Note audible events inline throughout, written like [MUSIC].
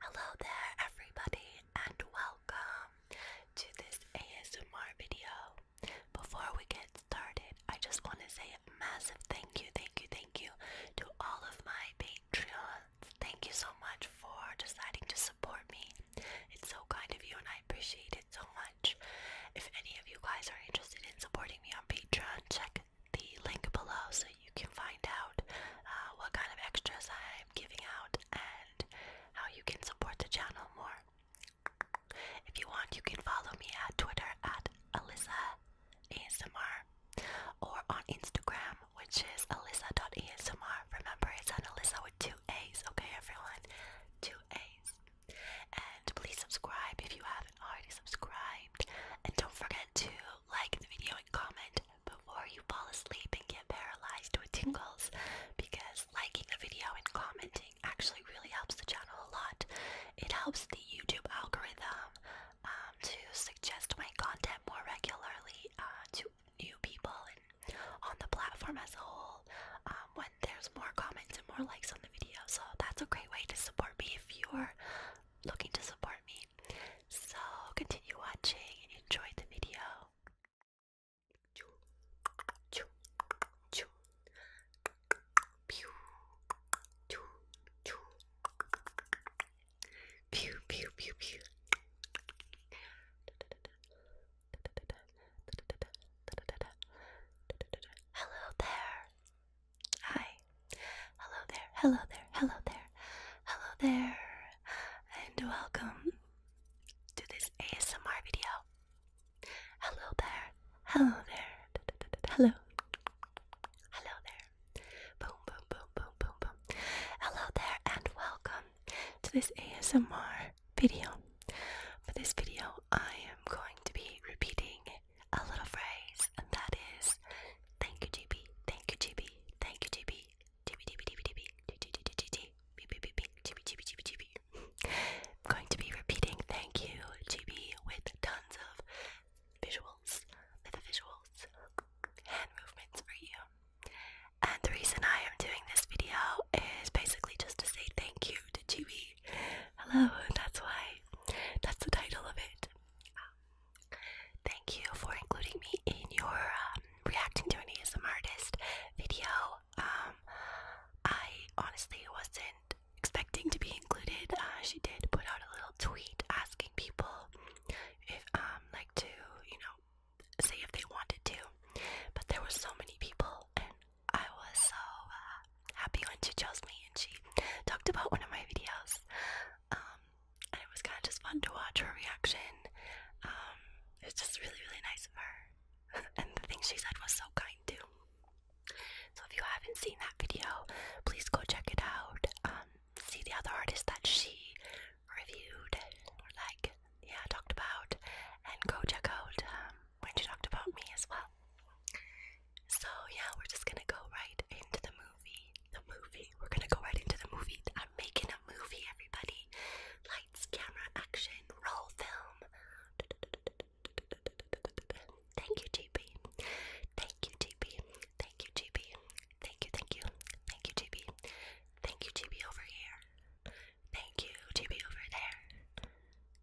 Hello there, everybody, and welcome to this ASMR video. Before we get started, I just want to say a massive thank you, thank you, thank you to all of my Patreons. Thank you so much for deciding to support me. It's so kind of you and I appreciate it so much. If any of you guys are interested in supporting me on Patreon, check the link below so you can find out uh, what kind of extras I'm giving out and how you can support the channel more. If you want, you can follow me at Twitter at Alyssa ASMR or on Instagram, which is Alyssa.ASMR. Remember, it's an Alyssa with two A's, okay, everyone? Two A's. And please subscribe if you haven't already subscribed. And don't forget to like the video and comment before you fall asleep and get paralyzed with tingles because liking the video and commenting actually really helps the channel a lot. It helps the YouTube algorithm um, to suggest my content more regularly uh, to new people and on the platform as a whole um, when there's more comments and more likes on the video. So that's a great way to support me if you're looking to support me. So continue watching and enjoy the video. Pew, pew, pew, pew. Hello there. Hi. Hello there. Hello there. Hello there. Hello there. And welcome to this ASMR video. Hello there. Hello there. hello. Hello there. Boom, boom, boom, boom, boom, boom. Hello there and welcome to this ASMR video. For this video, I am going to be repeating a little phrase, and that is thank you, GB, thank you, GB, thank you, GB, I'm going to be repeating thank you, GB, with tons of visuals, with the visuals, hand movements for you. And the reason I am doing this video is basically just to say thank you to GB. Hello, that's why, that's the title of it. Um, thank you for including me in your um, reacting to an ASM artist video. Um, I honestly wasn't expecting to be included. Uh, she did put out a little tweet asking people if, um, like to, you know, say if they wanted to. But there were so many people, and I was so uh, happy when she chose me and she talked about one of my videos. Um, and it was kind of just fun to watch her reaction. Um, it was just really, really nice of her. [LAUGHS] and the thing she said was so kind too. So if you haven't seen that video, please go check it out. Um, see the other artists that she reviewed like, yeah, talked about, and go check out um, when she talked about me as well. So yeah, we're just gonna go right into the movie the movie. We're gonna go right into the movie. I'm making a movie, everybody. Lights, camera, action, roll film. Thank you, JB. Thank you, JB. Thank you, JB. Thank you, thank you. Thank you, JB. Thank you, JB over here. Thank you, JB over there.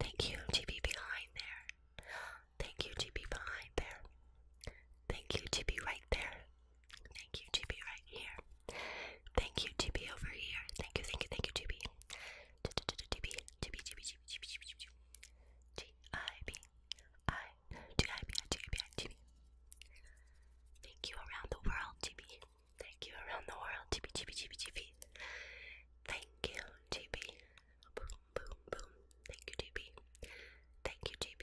Thank you, JB behind there. Thank you, JB behind there. Thank you, JB right there. Thank you, TB, right here. Thank you, TB, over here. Thank you, thank you, thank you, TB. TB, TB, TB, TB, TIB, I, TIB, TIB, TB. Thank you around the world, TB. Thank you around the world, TB, TB, TB, TB. Thank you, TB. Boom, boom, boom. Thank you, TB. Thank you, TB.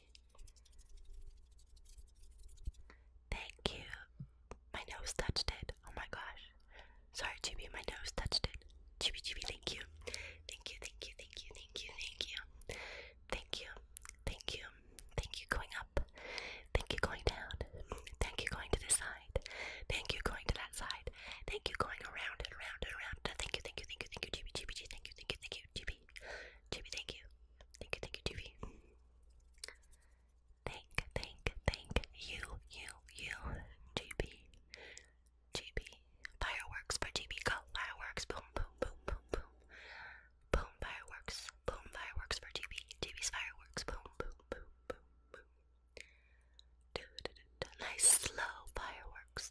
Thank you. My nose touched it. Oh my gosh. Sorry, Chibi, my nose touched it. Chibi, Chibi, thank you. Thank you, thank you, thank you, thank you, thank you. Thank you, thank you, thank you going up. Thank you going down. Thank you going to this side. Thank you going to that side. Thank you going around and around and around. Thank you, thank you, thank you, thank you, Chibi, Chibi, thank you, thank you, thank you, you, GB. GB, thank you. Thank you, thank you, GB. Thank, thank, thank you, you, you, GB. GB. Fireworks for GB. Go. Fireworks. Boom, boom, boom, boom, boom. Boom, fireworks. Boom, fireworks for GB. GB's fireworks. Boom, boom, boom, boom, boom. Do, do, do, do. Nice slow fireworks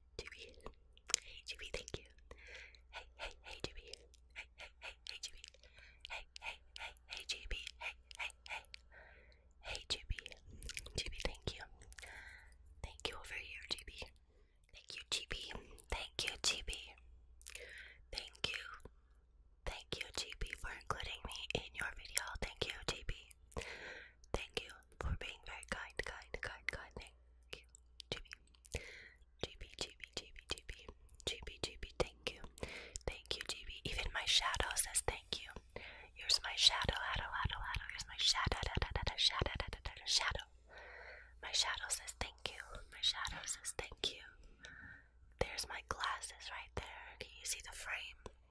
Jimmy. Hey Jimmy, thank you. Hey, hey, hey Jimmy. Hey, hey, hey, hey Jimmy. Hey, hey, hey, hey Jimmy. Hey, hey, hey. Hey Jimmy. Jimmy, thank you. Thank you over here, Jimmy. Thank you, GB. Thank you, GB. Thank you. Thank you, GB, for including me in your video. Thank you, GB. Thank you, for being very kind, kind, kind, kind. Thank you, GB. GB, GB, GB, GB, GB, GB. Thank you, thank you, GB. Even my shadow says thank you. Here's my shadow, shadow, shadow, shadow. Here's my shadow, shadow, shadow, shadow. My shadow says thank you. My shadow says thank you. There's my glasses right there. Can you see the frame?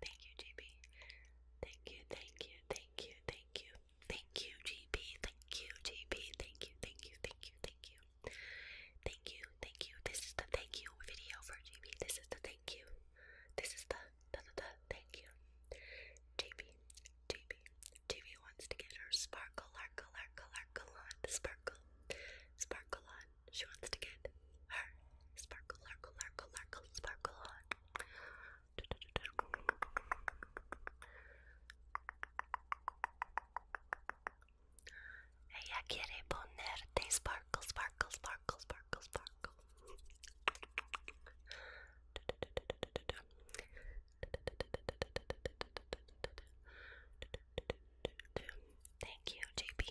Thank you, GB. Thank you, thank you, thank you, thank you. Thank you, GB. Thank you, GB. Thank you, thank you, thank you, thank you. Thank you, thank you. This is the thank you video for GB. This is the thank you. This is the da da da thank you. JB, JB, JB wants to get her sparkle, larkle, larkle, larkle on. Sparkle, sparkle on. She wants to get her sparkle, sparkle, sparkle, sparkle, sparkle on. Ella quiere ponerte sparkle, sparkle, sparkle, sparkle, sparkle. Thank you, JP.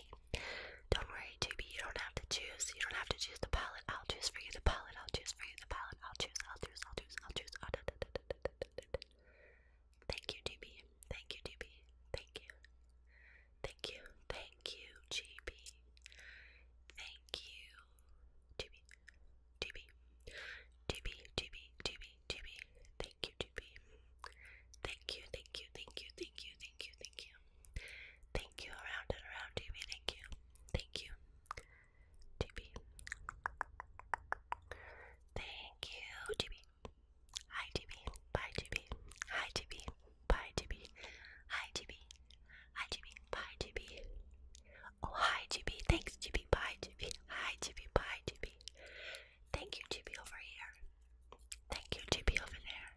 Don't worry, JP, you don't have to choose. You don't have to choose the palette. I'll choose for you the palette. I'll choose for you the palette. I'll choose, I'll choose, I'll choose, I'll choose. Thank you, JP. Thank you, JP. Thank you. Thank you. Thank you, JP. Thank you, JP. Thank you, JP. Thank you, thank you, thank you, thank you, thank you, thank you. Thank you around and around, TB. Thank you. Thank you. TB. Thank you, TB. Hi, TB. Bye, TB. Hi, TB. Bye, TB. Hi, TB. Hi, TB. Bye, TB. Oh, hi, TB. Thanks, TB. Bye, TB. Hi, TB. Bye, TB. Thank you, TB, over here. Thank you, TB, over there.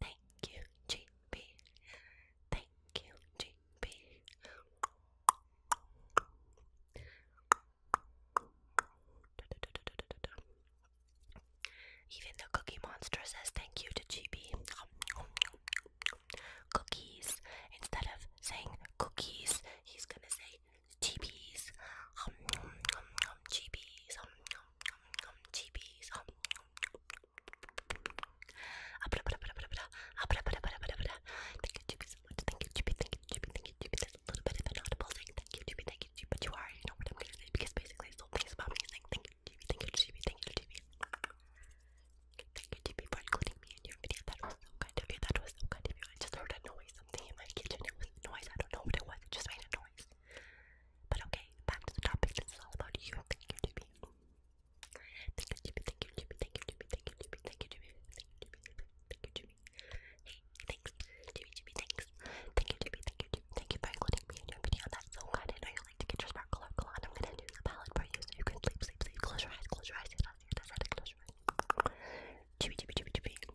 Thank you, GP. Thank you, GP. Even the Cookie Monster says thank you to GB. Cookies. Instead of saying cookies, he's gonna say GBs, um, um, um, um, GBs, um, um, um, um, GBs, um, Thank you, Chippy, so much. Thank you, Chippy, thank you, Chippy, thank you, Chippy. That's a little bit of an audible thing. Thank you, Chippy, thank you, Chippy. But you already know what I'm gonna say because basically it's all things about me saying thank you, Chippy, thank you, Chippy, thank you, Chippy. Thank you, Chippy, for including me in your video. That was so kind of you. That was so kind of you. I just heard a noise in my kitchen. It was noise. I don't know what it was. It just made a noise. But okay, back to the topic. This is all about you. Thank you, Jimmy. Thank you, Jimmy. Thank you, Jimmy. Thank you, Jimmy. Thank you, Jimmy. Thank you, Jimmy. Hey, thanks, Jimmy. Jimmy, thanks. Thank you, Jimmy. Thank you, Jimmy. Thank you for including me in your video. That's so good. I know you like to get your sparkle up on. I'm gonna do the palette for you so you can sleep, sleep, sleep. Close your eyes. Close your eyes. Close your eyes. Close your eyes. Close your eyes. Jimmy, Jimmy, Jimmy, Jimmy.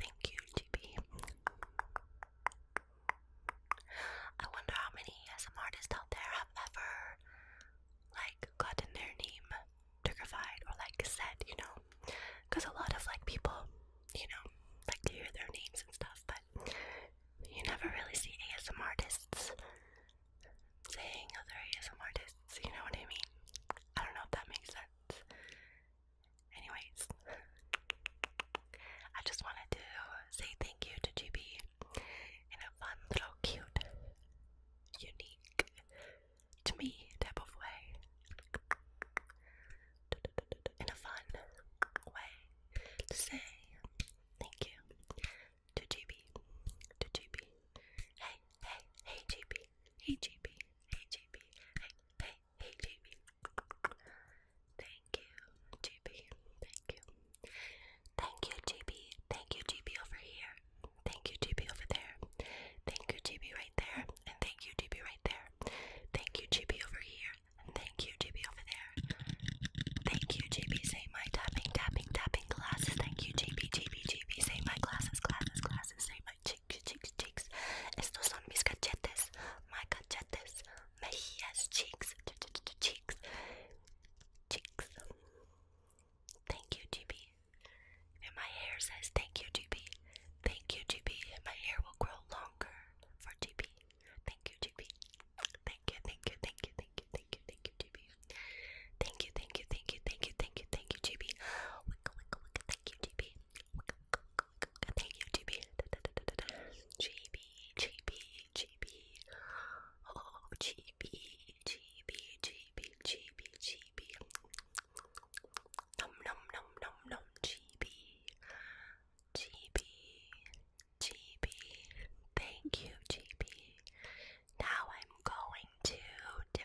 Thank you, GB. wonder how many SM artists out there have ever like gotten their name Turkified or like said, you know, because a lot of like people, you know, like to hear their names and stuff, but you never really see ASM artists saying other ASM artists. You know what I mean? I don't know if that makes sense. Anyways, I just wanted to say thank you to GB in a fun little cute, unique to me type of way. In a fun way to say thank you to GB. To GB. Hey, hey, hey GB. Hey GB. Hey JP. Hey, hey, hey JP. Thank you, JP. Thank you. Thank you, JP. Thank you, JP over here. Thank you, JP over there. Thank you, JP right there. And thank you, JP right there. Thank you, JP over here. And thank you, JP over there. Thank you, JP. Say my tapping, tapping, tapping glasses. Thank you, JP, JP, JP. Say my glasses, glasses, glasses. Say my J cheeks, cheeks, cheeks. Estos son mis cachetes, my cachetes, mejillas, cheeks, ch ch ch Thank you, GB. And my hair says, Thank you, GB. Thank you, GB. And my hair will grow longer for GB. Thank you, GB. Thank you, thank you, thank you, thank you, thank you, thank you, GB. Thank you, thank you, thank you, thank you, thank you, thank you, GB. Winkle, winkle, winkle, thank you, GB. Winkle, winkle, winkle, winkle, thank you, GB. Da, da, da, da, da, da. GB, GB, GB. Oh, GB, GB, GB, GB, GB. Nom, nom, nom, nom, nom, GB. GB, GB. Thank you, GB. Now I'm going to do